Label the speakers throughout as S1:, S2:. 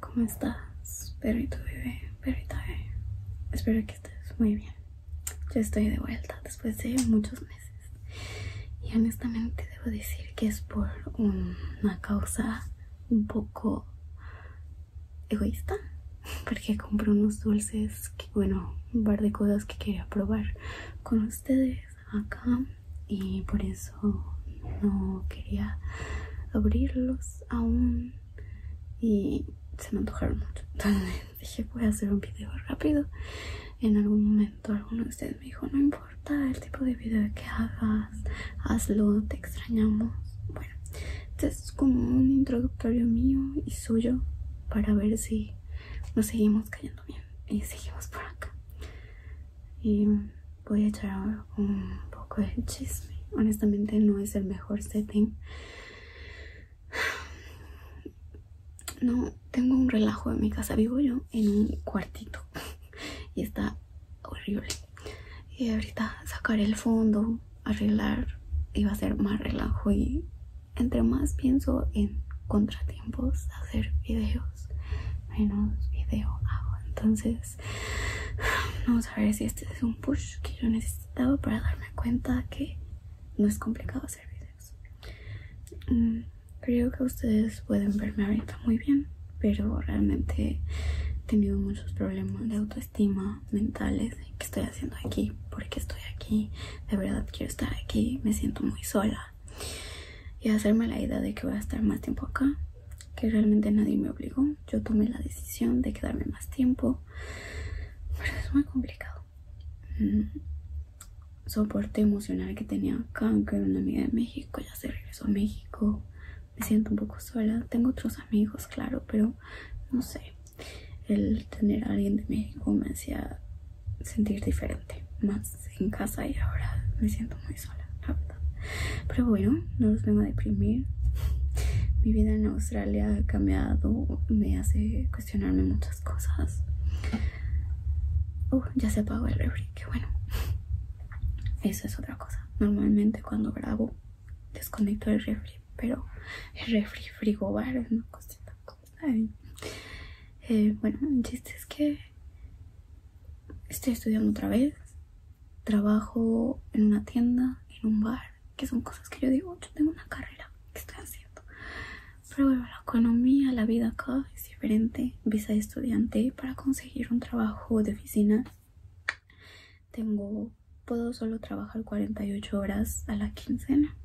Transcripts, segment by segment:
S1: ¿Cómo estás, perrito bebé, perrita Espero que estés muy bien. Yo estoy de vuelta después de muchos meses y honestamente debo decir que es por una causa un poco egoísta porque compré unos dulces bueno un par de cosas que quería probar con ustedes acá y por eso no quería abrirlos aún y se me antojaron mucho entonces dije voy a hacer un video rápido en algún momento alguno de ustedes me dijo no importa el tipo de video que hagas, hazlo, te extrañamos. Bueno, este es como un introductorio mío y suyo para ver si nos seguimos cayendo bien y seguimos por acá. Y voy a echar un poco de chisme. Honestamente no es el mejor setting. No, tengo un relajo en mi casa. Vivo yo en un cuartito y está horrible. Y ahorita sacar el fondo, arreglar, iba a ser más relajo. Y entre más pienso en contratiempos, hacer videos, menos video hago. Entonces, vamos a ver si este es un push que yo necesitaba para darme cuenta que no es complicado hacer videos. Mm, Creo que ustedes pueden verme ahorita muy bien, pero realmente he tenido muchos problemas de autoestima mentales. ¿Qué estoy haciendo aquí? ¿Por qué estoy aquí? De verdad quiero estar aquí, me siento muy sola. Y hacerme la idea de que voy a estar más tiempo acá, que realmente nadie me obligó. Yo tomé la decisión de quedarme más tiempo, pero es muy complicado. Mm. soporte emocional que tenía acá, en era una amiga de México, Hace regreso a México, me siento un poco sola. Tengo otros amigos, claro, pero no sé. El tener a alguien de México me hacía sentir diferente, más en casa y ahora me siento muy sola, la verdad. Pero bueno, no los vengo a deprimir. Mi vida en Australia ha cambiado, me hace cuestionarme muchas cosas. Oh, ya se apagó el refri, qué bueno. Eso es otra cosa. Normalmente cuando grabo desconecto el refri, pero el refri frigobar es una cosita. Eh, bueno, el chiste es que estoy estudiando otra vez. Trabajo en una tienda, en un bar, que son cosas que yo digo, yo tengo una carrera, ¿qué estoy haciendo? Pero bueno, la economía, la vida acá diferente visa de estudiante para conseguir un trabajo de oficina tengo puedo solo trabajar 48 horas a la quincena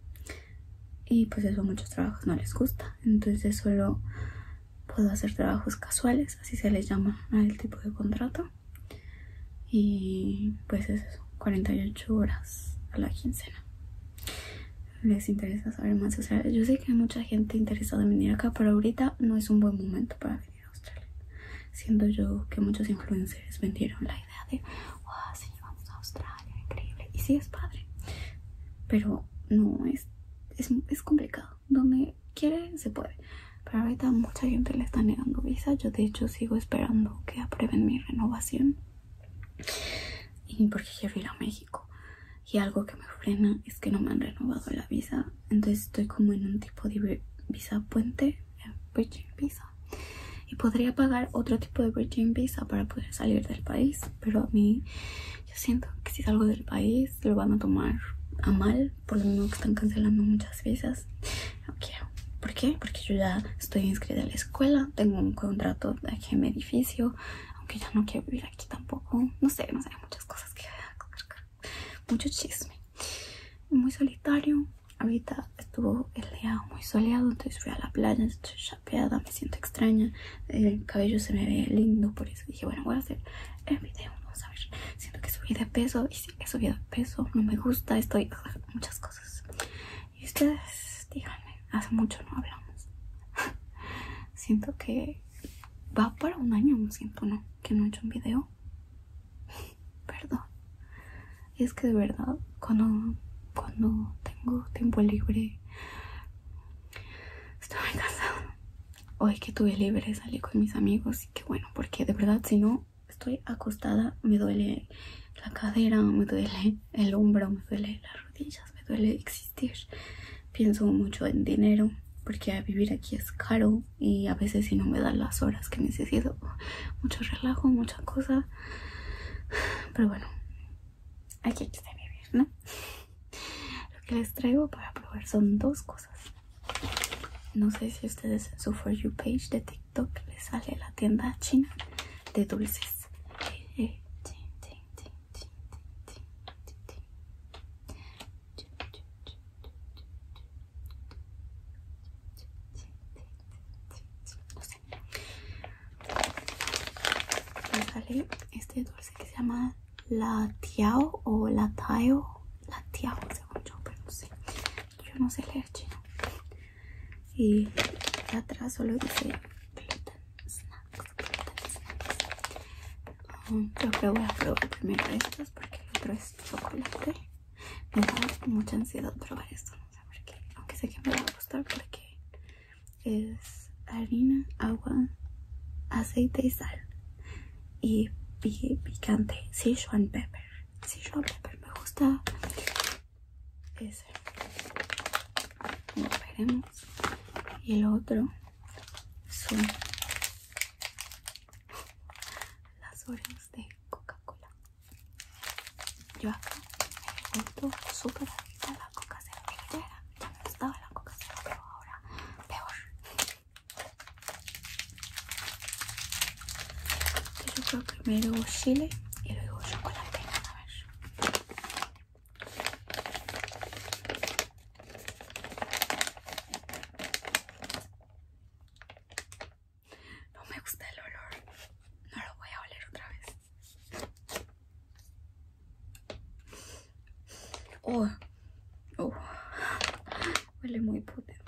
S1: y pues eso muchos trabajos no les gusta entonces solo puedo hacer trabajos casuales así se les llama al tipo de contrato y pues es eso 48 horas a la quincena les interesa saber más o sea yo que hay mucha gente interesada en venir acá, pero ahorita no es un buen momento para venir a Australia. Siendo yo que muchos influencers vendieron la idea de, wow, vamos a Australia, increíble. Y si es padre, pero no, es, es, es complicado. Donde quiere, se puede. Pero ahorita mucha gente le está negando visa. Yo de hecho sigo esperando que aprueben mi renovación. Y porque quiero ir a México y algo que me frena es que no me han renovado la visa entonces estoy como en un tipo de visa puente eh, Visa y podría pagar otro tipo de bridging Visa para poder salir del país pero a mí yo siento que si salgo del país lo van a tomar a mal por lo mismo que están cancelando muchas visas no ¿Por qué? Porque yo ya estoy inscrita a la escuela, tengo un contrato de en edificio, aunque ya no quiero vivir aquí tampoco. No sé, no sé, muchas cosas que... Mucho chisme. Muy solitario. Ahorita estuvo el día muy soleado, entonces fui a la playa, estoy chapeada, me siento extraña. El cabello se me ve lindo, por eso dije, bueno, voy a hacer el video. Vamos a ver. Siento que subí de peso y sí, que subí de peso. No me gusta, estoy... Muchas cosas. Y ustedes, díganme, hace mucho no hablamos. siento que va para un año me siento, no que no he hecho un video perdón es que de verdad cuando cuando tengo tiempo libre estoy muy cansada hoy que tuve libre salí con mis amigos y que bueno porque de verdad si no estoy acostada me duele la cadera me duele el hombro me duele la me duele existir. Pienso mucho en dinero porque vivir aquí es caro y a veces si no me dan las horas que necesito, mucho relajo, mucha cosa. Pero bueno, aquí hay que vivir, ¿no? Lo que les traigo para probar son dos cosas. No sé si ustedes en su For You page de TikTok les sale la tienda china de dulces. Eh, eh, no sé. este dulce que se llama la tiao o la tao, la tiao según yo, pero no sé. Yo no sé leer chino. Y atrás solo dice gluten snacks Creo que voy a probar primero estos porque el otro es chocolate. Me da mucha ansiedad probar esto, no sé por qué. Aunque sé que me va a gustar porque es harina, agua, aceite y sal. Y picante, Sichuan pepper. Sichuan pepper me gusta. Ese. Como veremos. Y el otro son las orejas de Coca-Cola. Yo acá me gustó súper adicta la coca cola era, Ya me gustaba la coca cola pero ahora peor. Yo creo que primero chile y luego chocolate. A ver. No me gusta el olor. No lo voy a oler otra vez. Oh, oh. Huele muy potente.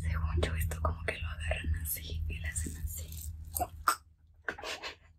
S1: Según yo esto como que lo agarran así y lo hacen así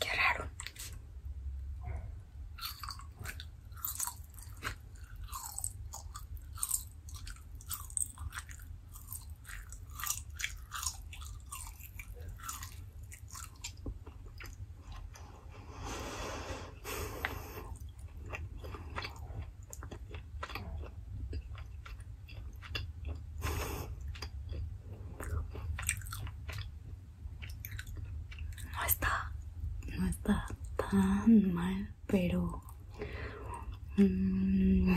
S1: Qué raro. No está, no está tan mal, pero mm,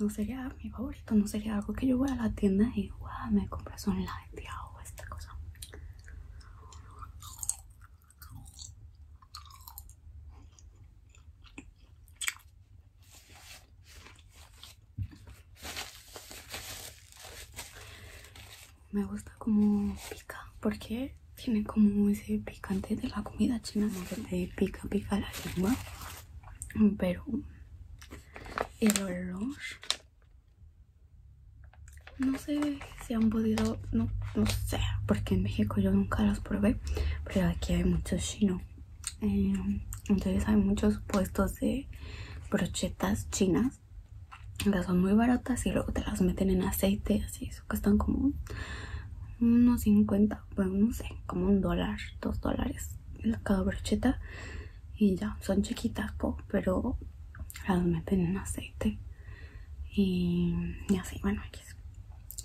S1: no sería mi favorito, no sería algo que yo voy a la tienda y me son un de o esta cosa. Me gusta como pica, porque tiene como ese picante de la comida china, no pica, pica la lengua. Pero el olor, no sé si han podido no, sé, porque en México yo nunca las probé, pero aquí hay muchos chinos. Eh, entonces hay muchos puestos de brochetas chinas las son muy baratas y luego te las meten en aceite, así, eso cuestan como unos 50, bueno, no sé, como un dólar, dos dólares cada brocheta y ya, son chiquitas, pero las meten en aceite y, así, bueno,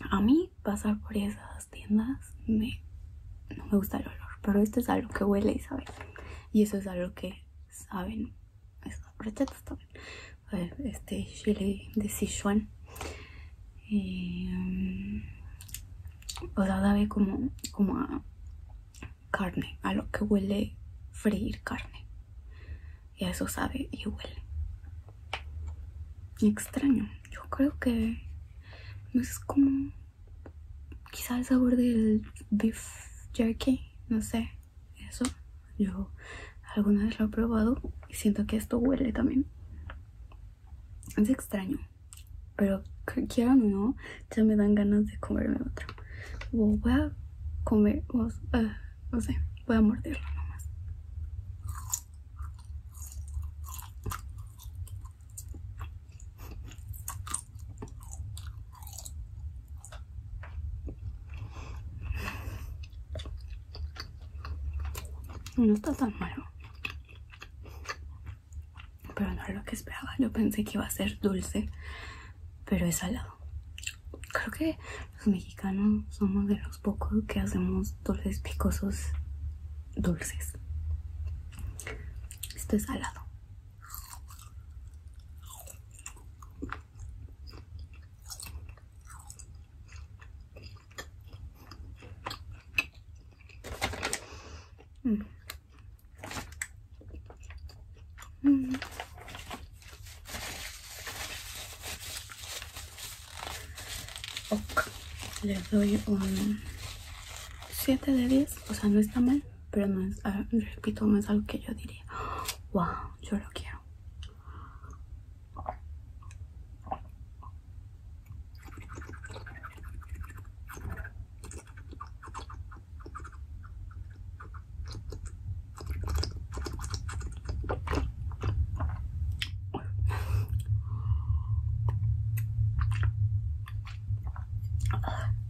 S1: a mí pasar por esas tiendas me, no me gusta el olor, pero esto es algo que huele y sabe. Y eso es algo que saben estas brochetas también. Este chile de Sichuan. Eh, como, como a carne, a lo que huele freír carne y a eso sabe y huele. extraño, yo creo que no es como quizá el sabor del beef jerky, no sé, eso. Yo alguna vez lo he probado y siento que esto huele también. Es extraño, pero quieran o no, ya me dan ganas de comerme otro. O voy a comer, ah, no sé, voy a morderlo nomás. No está tan malo. Pero no era lo que esperaba. Yo pensé que iba a ser dulce, pero es salado creo que los mexicanos somos de los pocos que hacemos dulces picosos dulces. Esto es salado. Mm. Mm. Ok, les doy un 7 de 10. O sea, no está mal, pero no es, ah, repito, no es algo que yo diría. Wow, yo lo quiero.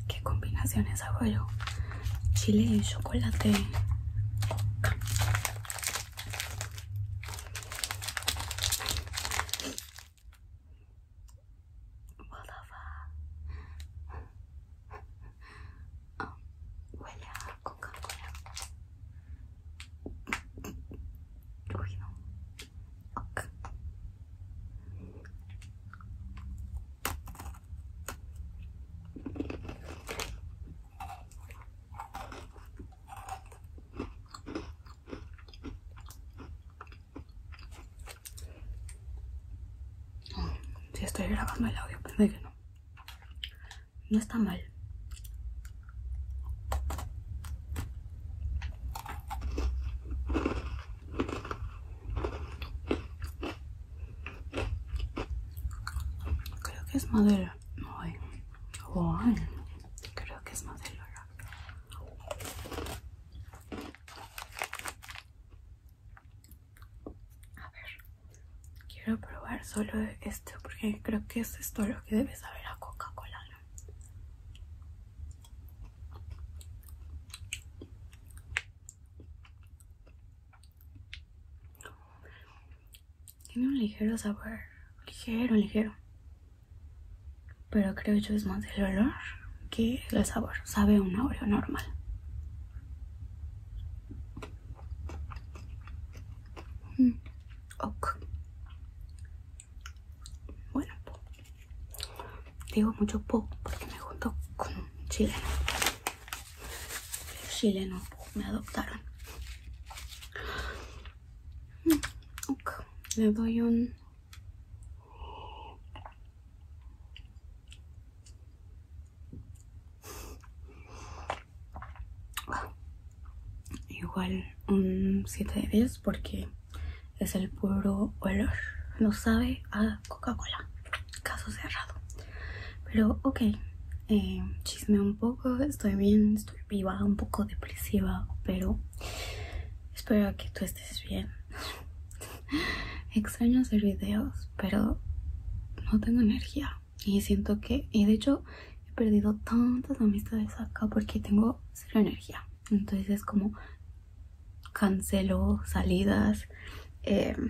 S1: Qué combinaciones es Chile y chocolate. Oh, huele a Coca-Cola. Uy, no. Okay. Si estoy grabando el audio, pensé que no no está mal. Creo que es madera. Creo que es madera. A ver quiero probar solo esto porque creo que es todo lo que debe saber a Coca-Cola. Tiene un ligero sabor, ligero, ligero. Pero creo yo es más el olor que el sabor. Sabe un Oreo normal. Mm, ok. Bueno, digo mucho poco porque me junto con un chileno. me adoptaron. Mm, ok. Le doy un Igual un 7 de 10 porque es el puro olor. No sabe a Coca-Cola. Caso cerrado. Pero ok, eh, chisme un poco. Estoy bien, estoy viva, un poco depresiva, pero espero que tú estés bien. Extraño hacer videos, pero no tengo energía. Y siento que, y de hecho, he perdido tantas amistades acá porque tengo cero energía. Entonces es como cancelo salidas, em,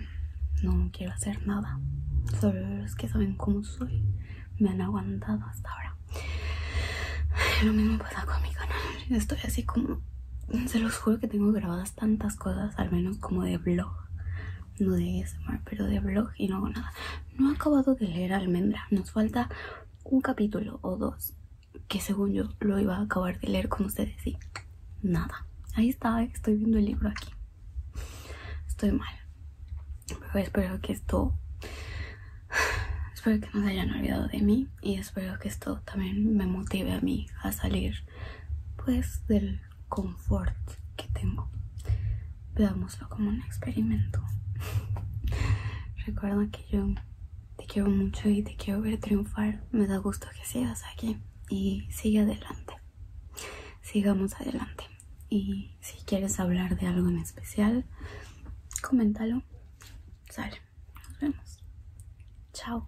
S1: no quiero hacer nada. Solo los que saben cómo soy me han aguantado hasta ahora. Lo mismo pasa con mi canal. Estoy así como, se los juro que tengo grabadas tantas cosas, al menos como de blog no de ASMR, pero de blog y no hago nada. No he acabado de leer Almendra, nos falta un capítulo o dos que según yo lo iba a acabar de leer con ustedes y nada. Ahí está, eh, estoy viendo el libro aquí. Estoy mal. Pero espero que esto... Espero que no se hayan olvidado de mí y espero que esto también me motive a mí a salir pues del confort que tengo. Veámoslo como un experimento. Recuerda que yo te quiero mucho y te quiero ver triunfar. Me da gusto que sigas aquí y sigue adelante. Sigamos adelante. Y si quieres hablar de algo en especial, coméntalo. Sale. Nos vemos. Chao.